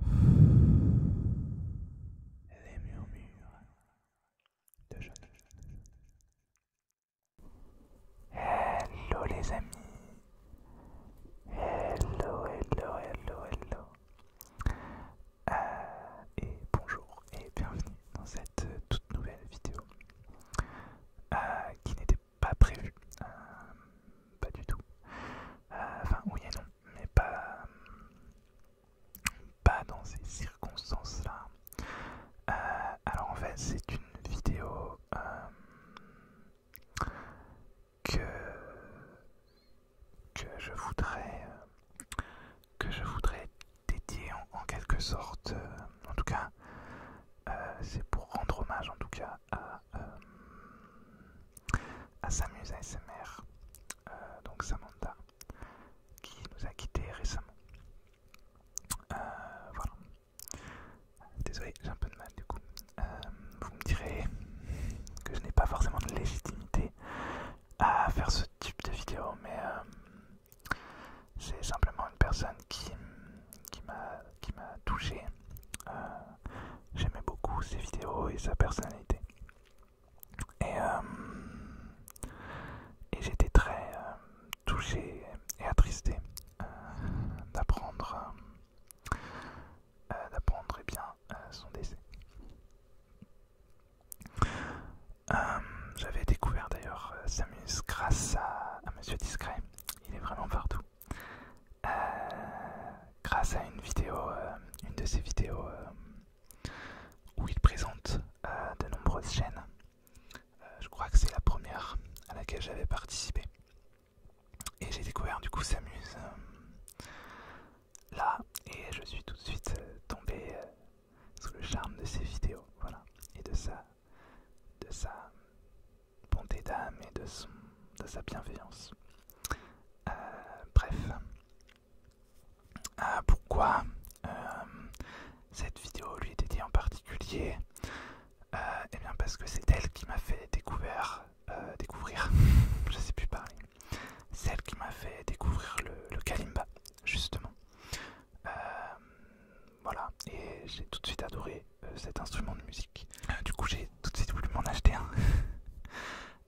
Les murmures de jeunes. Hello les amis. Hello, hello, hello, hello. Ah, et bonjour et bienvenue dans cette toute nouvelle vidéo ah, qui n'était pas prévue. Euh, pas du tout. Euh, enfin, oui et non, mais pas, pas dans ces circonstances-là. Euh, alors en fait, c'est une vidéo euh, que, que je voudrais que je voudrais dédier en, quelque sorte. en tout cas, c'est pour rendre hommage en tout cas à, s'amuser euh, à Samuse ASMR, euh, donc Samantha, qui nous a quittés récemment. Euh, voilà. Désolé, j'ai un peu de mal du coup. vous me direz que je n'ai pas forcément de légitimité à faire ce type de vidéo, mais c'est simplement une personne qui, qui m'a touché j'aimais beaucoup ses vidéos et sa personnalité. Et, euh, j'étais très euh, touché et attristé euh, d'apprendre d'apprendre eh bien son décès. J'avais découvert d'ailleurs Samus grâce à Monsieur Discret. Il est vraiment partout. Euh, grâce à une vidéo, euh, une de ses vidéos euh, où il présente de nombreuses chaînes. je crois que c'est la première à laquelle j'avais participé. Et j'ai découvert du coup Samuse là et je suis tout de suite tombé sous le charme de ses vidéos, voilà, et de sa, bonté d'âme et de sa bienveillance. Euh, bref. Euh, pourquoi euh, cette vidéo lui est dédiée en particulier Eh bien parce que c'est elle qui m'a fait découvrir, découvrir, sais plus celle qui m'a fait découvrir le, Kalimba, justement. voilà, et j'ai tout de suite adoré cet instrument de musique. Euh, du coup, j'ai tout de suite voulu m'en acheter un.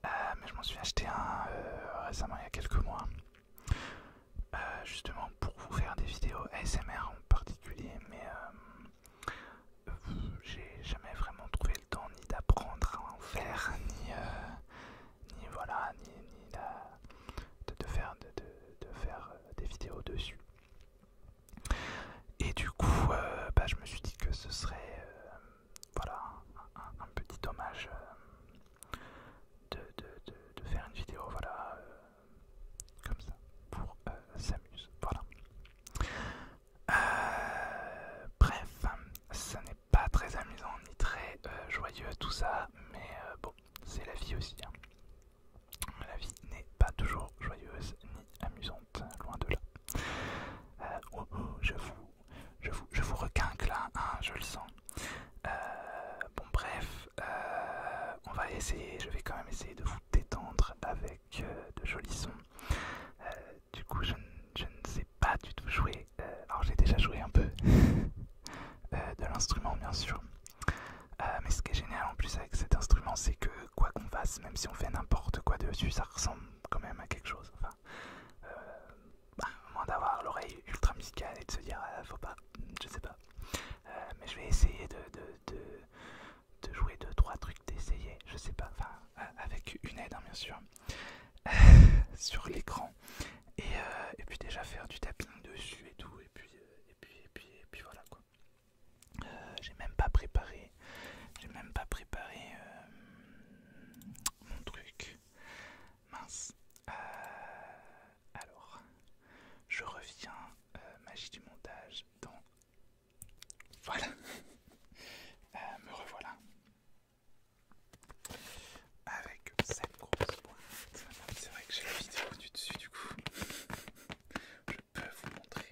Euh, mais je m'en suis acheté un euh, récemment, il y a quelques mois. justement pour vous faire des vidéos ASMR en particulier, mais j'ai jamais vraiment trouvé le temps ni d'apprendre à en faire, ni, ni voilà, ni, ni de, faire, de, faire des vidéos dessus. Et du coup, bah, je me suis dit que ce serait voilà, un, petit hommage euh, de, faire une vidéo, voilà, euh, comme ça, pour euh, s'amuser, voilà. bref, ça n'est pas très amusant ni très joyeux tout ça, mais bon, c'est la vie aussi. Hein. La vie n'est pas toujours joyeuse ni amusante loin de là. Euh, oh, oh, je vous, je vous, je requinque là, hein, je le sens. Euh, bon bref, euh, on va essayer, je vais quand même essayer de vous détendre avec de jolis sons. du coup, je, ne sais pas du tout jouer. alors j'ai déjà joué un peu de l'instrument, bien sûr. mais ce qui est génial en plus avec cet instrument, c'est que quoi qu'on fasse, même si on fait n'importe quoi dessus, ça ressemble quand même à quelque chose. Enfin, euh, bah, moins d'avoir l'oreille ultra musicale et de se dire euh, faut pas, je sais pas. Euh, mais je vais essayer de, de, de, de jouer deux trois trucs, d'essayer, je sais pas. Enfin, avec une aide hein, bien sûr sur l'écran et, puis déjà faire du tapping dessus et tout et puis puis et puis voilà quoi. J'ai même pas préparé j'ai même pas préparé euh, mon truc. Mince. Euh, alors, je reviens euh, magie du montage dans. Voilà. me revoilà. Avec cette grosse boîte. C'est vrai que j'ai la vidéo du dessus du coup. Je peux vous montrer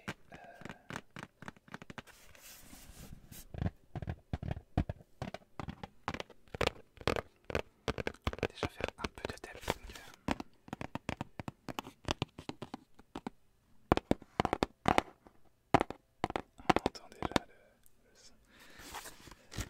Déjà faire un peu de téléphone. On entend déjà le, le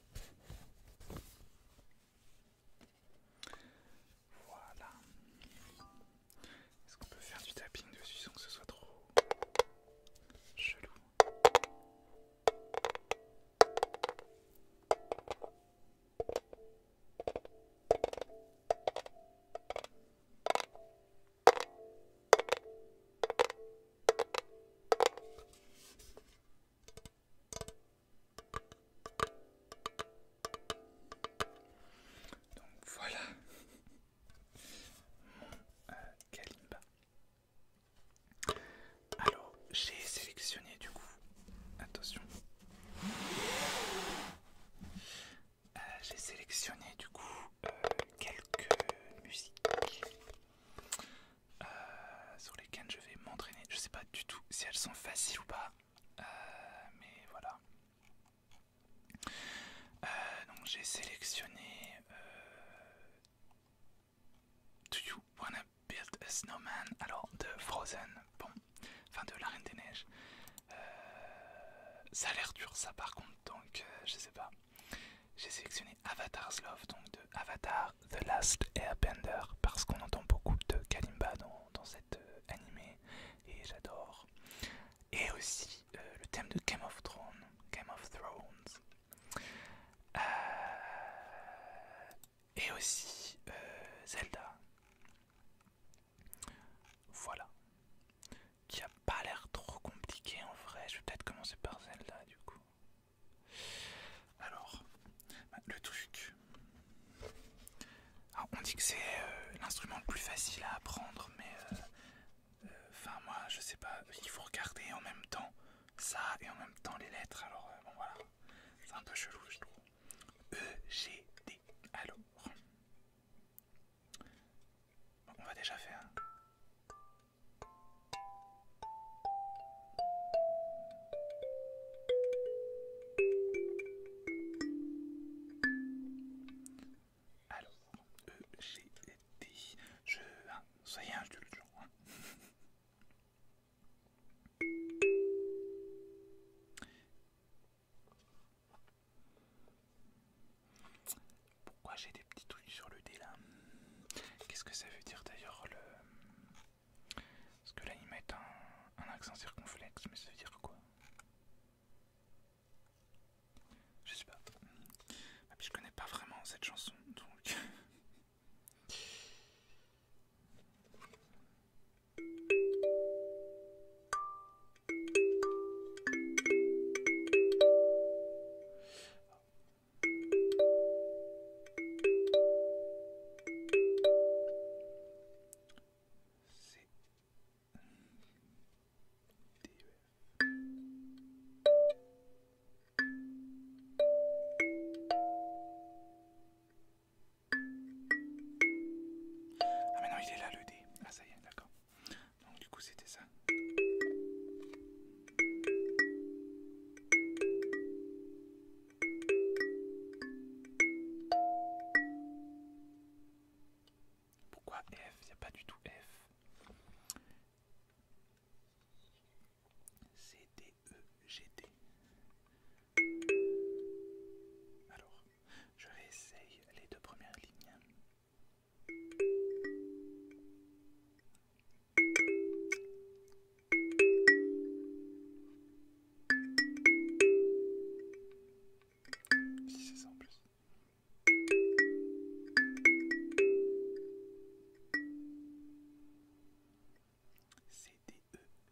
Voilà. Est-ce qu'on peut faire du tapping dessus sans que ce soit trop chelou donc voilà mon euh, Alors j'ai sélectionné du coup, attention, euh, j'ai sélectionné du coup euh, quelques musiques. Euh, sur lesquelles je vais m'entraîner. Je sais pas du tout si elles sont faciles ou pas, euh, mais voilà. Euh, donc j'ai sélectionné Do You Wanna Build a Snowman Alors de Frozen, bon, enfin de La Reine des Neiges. ça a l'air dur ça par contre, donc je sais pas. J'ai sélectionné Avatar's Love, donc de Avatar The Last Airbender, parce qu'on entend beaucoup de Kalimba dans, dans cet euh, et j'adore. Et aussi euh, le thème de Game of Thrones. Game of Thrones. Euh, et aussi Zelda. Voilà. Qui a pas l'air trop compliqué en vrai. Je vais peut-être commencer par Zelda du coup. Alors, bah, le truc. Ah, on dit que c'est euh, l'instrument le plus facile à apprendre, mais euh, euh, enfin moi je sais pas, il faut regarder en même temps ça et en même temps les lettres. Alors bon voilà, c'est un peu chelou je trouve. E G D. Alors, on va déjà faire. Alors, j'ai dit, je, jeu soyez indulgents. Pourquoi j'ai des petits trucs sur le dé là Qu'est-ce que ça veut dire d'ailleurs le... Est-ce que là, ils mettent un, accent circonflexe, mais ça veut dire quoi Je sais pas. Et ah, puis je connais pas vraiment cette chanson, donc... C'est ah mais il est là le D. Ah ça y est, d'accord. Donc du coup c'était ça. Pourquoi F Il n'y a pas du tout F. C, D, E, G, D. Alors, je essayer les deux premières lignes. Si c'est ça plus. C, E,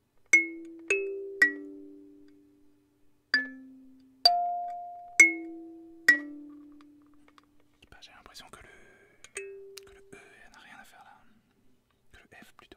Bah, j'ai l'impression que que le E n'a rien à faire là. Que le F plutôt.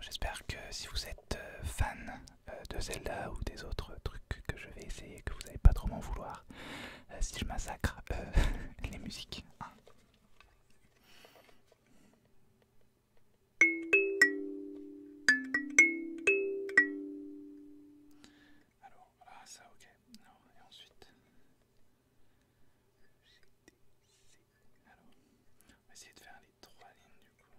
J'espère que si vous êtes euh, fan euh, de Zelda ou des autres trucs que je vais essayer, que vous n'allez pas trop m'en vouloir euh, si je massacre les musiques. Hein. Alors, ah, ça ok. et ensuite. On va essayer de faire les trois lignes du coup.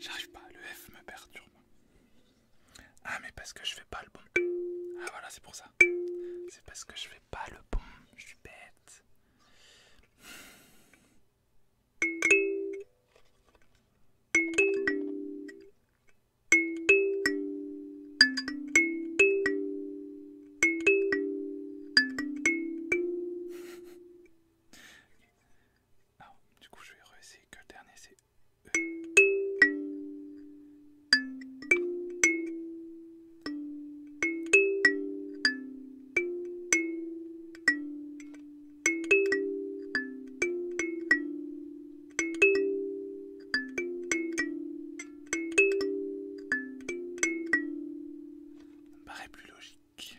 J'arrive pas, le F me perturbe. Ah mais parce que je fais pas le bon. Ah voilà, c'est pour ça. C'est parce que je fais pas le bon, je suis bête. Ah, du coup, je vais réessayer que le dernier c'est e. Ça me paraît plus logique.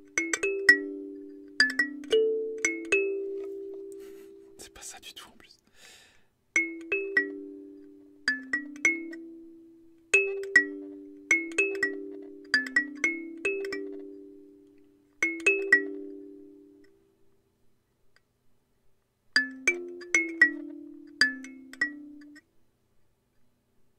C'est pas ça du tout en plus.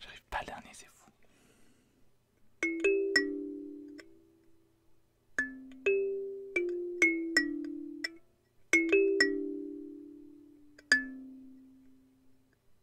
J'arrive pas à le c'est fou.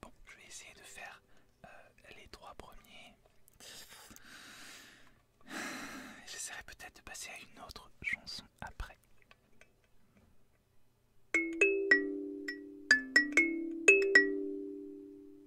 Bon, je vais essayer de faire euh, les trois premiers. J'essaierai peut-être de passer à une autre chanson après.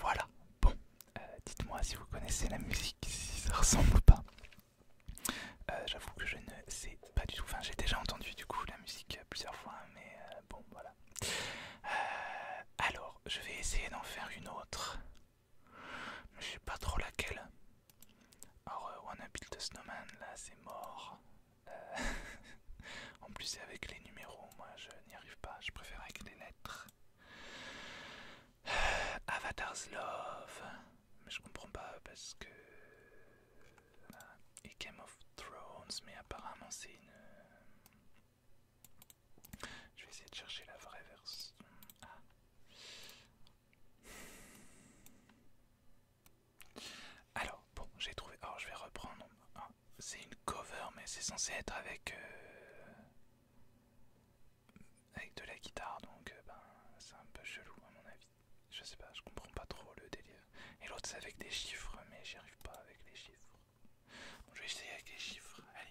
Voilà, bon, euh, dites-moi si vous connaissez la musique, si ça ressemble pas. Euh, j'avoue que je ne sais pas du tout, enfin j'ai déjà entendu du coup la musique plusieurs fois, mais euh, bon voilà. alors, je vais essayer d'en faire une autre. Je sais pas trop laquelle. Alors, Wanna Snowman, là c'est mort. Euh, en plus, c'est avec les numéros, moi je n'y arrive pas, je préfère avec les lettres. Avatar's Love, mais je comprends pas parce que. Euh, Game of Thrones, mais apparemment c'est une. Euh, je vais essayer de chercher la vraie version. Ah. Alors, bon, j'ai trouvé. Alors, je vais reprendre. Ah, c'est une cover, mais c'est censé être avec. Euh, avec de la guitare, donc euh, ben, c'est un peu chelou, à mon avis. Je sais pas, je comprends pas trop le délire. Et l'autre, c'est avec des chiffres, mais j'arrive arrive pas avec les chiffres. je vais essayer avec les chiffres. Allez.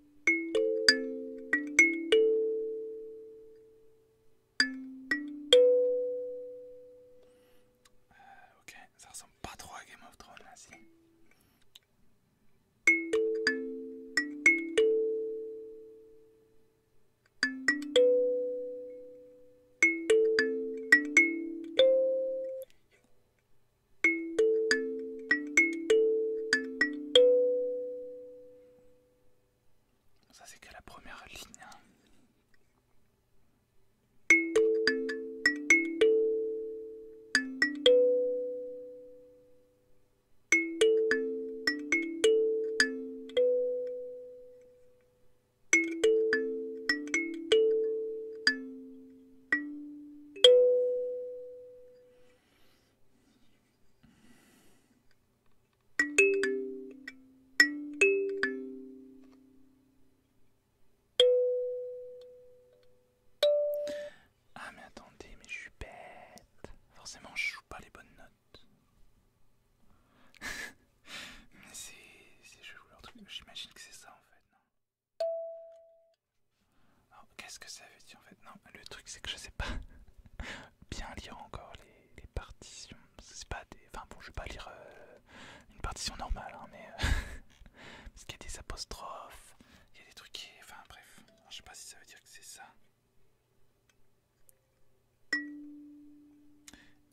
Euh, ok, ça ressemble pas trop à Game of Thrones là, si. Ça c'est que la première ligne. Hein. Ah mais attendez, mais je suis bête. Forcément, je joue pas les bonnes notes. mais c'est... je joue leur truc. J'imagine que c'est ça en fait. Non Oh, qu'est-ce que ça veut dire en fait Non, le truc c'est que je sais pas bien lire encore les, partitions. C'est pas des. Enfin bon, je vais pas lire euh, une partition normale, hein, mais. Euh, parce qu'il y a des apostrophes, il y a des trucs qui. Enfin bref, je sais pas si ça veut dire que c'est ça.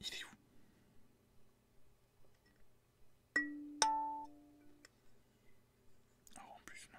Il est où Alors oh, en plus, non.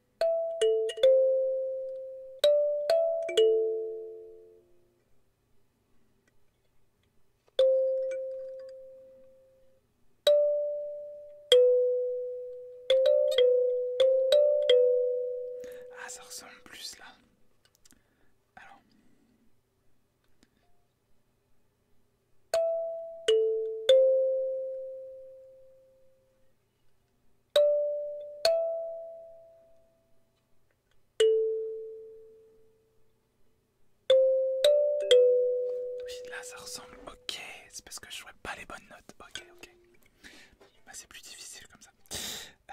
Ah, ça ressemble plus là. Alors. Oui, là ça ressemble. Ok, c'est parce que je jouais pas les bonnes notes. Ok, ok. Bah, c'est plus difficile comme ça. Euh.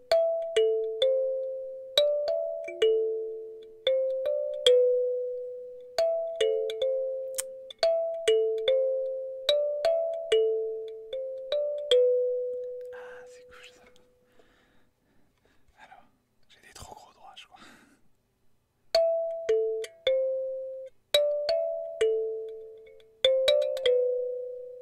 Ah, c'est cool ça. Alors, j'ai des trop gros droits, je crois.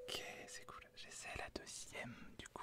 Ok, c'est cool. J'essaie la deuxième du coup.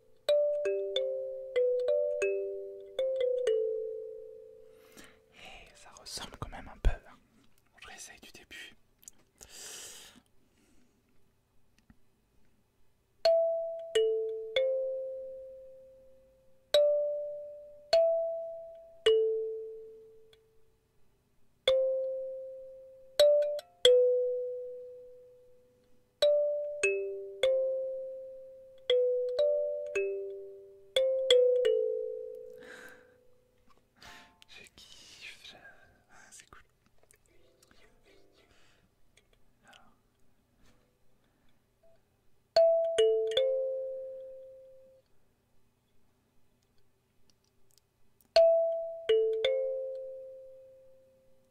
Et eh, ça ressemble quand même un peu. Je hein. réessaye du début. Je kiffe, je... Ah, c'est cool.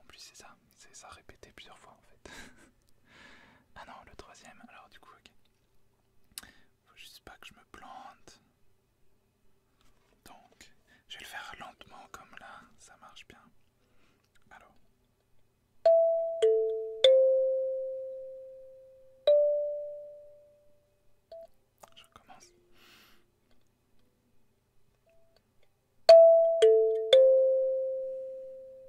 En plus c'est ça, c'est ça répété plusieurs fois en fait. ah non, le troisième, alors du coup ok. Faut juste pas que je me plante. Donc, je vais le faire lentement comme là, ça marche bien. Alors. Je commence.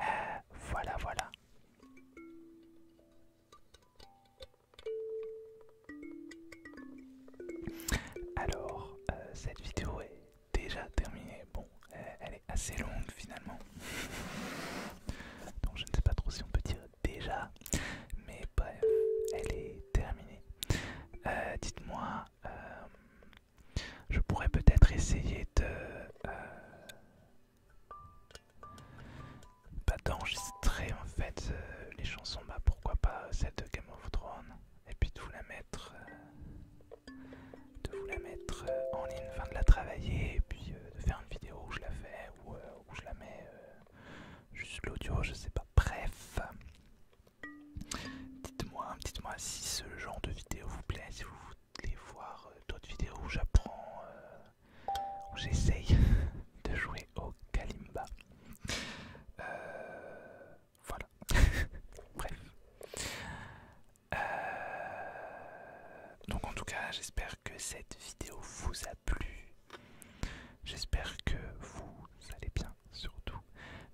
Euh, voilà, voilà. Alors, euh, cette vidéo est déjà terminée. Bon, euh, elle est assez longue finalement. Donc je ne sais pas trop si on peut dire déjà. Mais bref, elle est terminée. Euh, dites-moi, euh, je pourrais peut-être essayer de... Euh, pas d'enregistrer en fait les chansons, bah pourquoi pas cette Game of Thrones, et puis de vous la mettre... de vous la mettre en ligne, enfin de la travailler, et puis de faire une vidéo où je la fais, ou où je la mets euh, juste l'audio, je sais pas. Bref, dites-moi, dites-moi si ce genre de vidéo vous plaît, si vous voulez voir euh, d'autres vidéos où j'apprends, euh, où j'essaye de jouer au Kalimba. voilà. Bref. donc en tout cas, j'espère que cette vidéo vous a J'espère que vous allez bien, surtout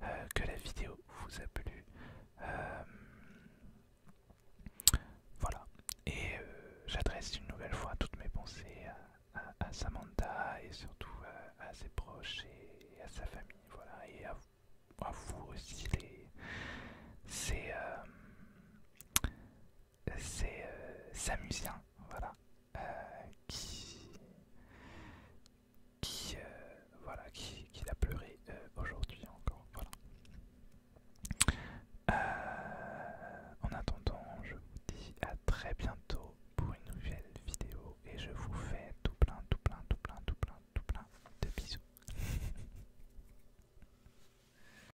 euh, que la vidéo vous a plu. Euh, voilà. Et euh, j'adresse une nouvelle fois toutes mes pensées à, Samantha et surtout à, ses proches et, à sa famille. Voilà. Et à, vous aussi. c'est c'est euh, Samusien, euh, euh, voilà, qui, qui, voilà, qui, qui pleuré aujourd'hui encore, voilà. en attendant, je vous dis à très bientôt pour une nouvelle vidéo et je vous fais tout plein, tout plein, tout plein, tout plein, tout plein de bisous.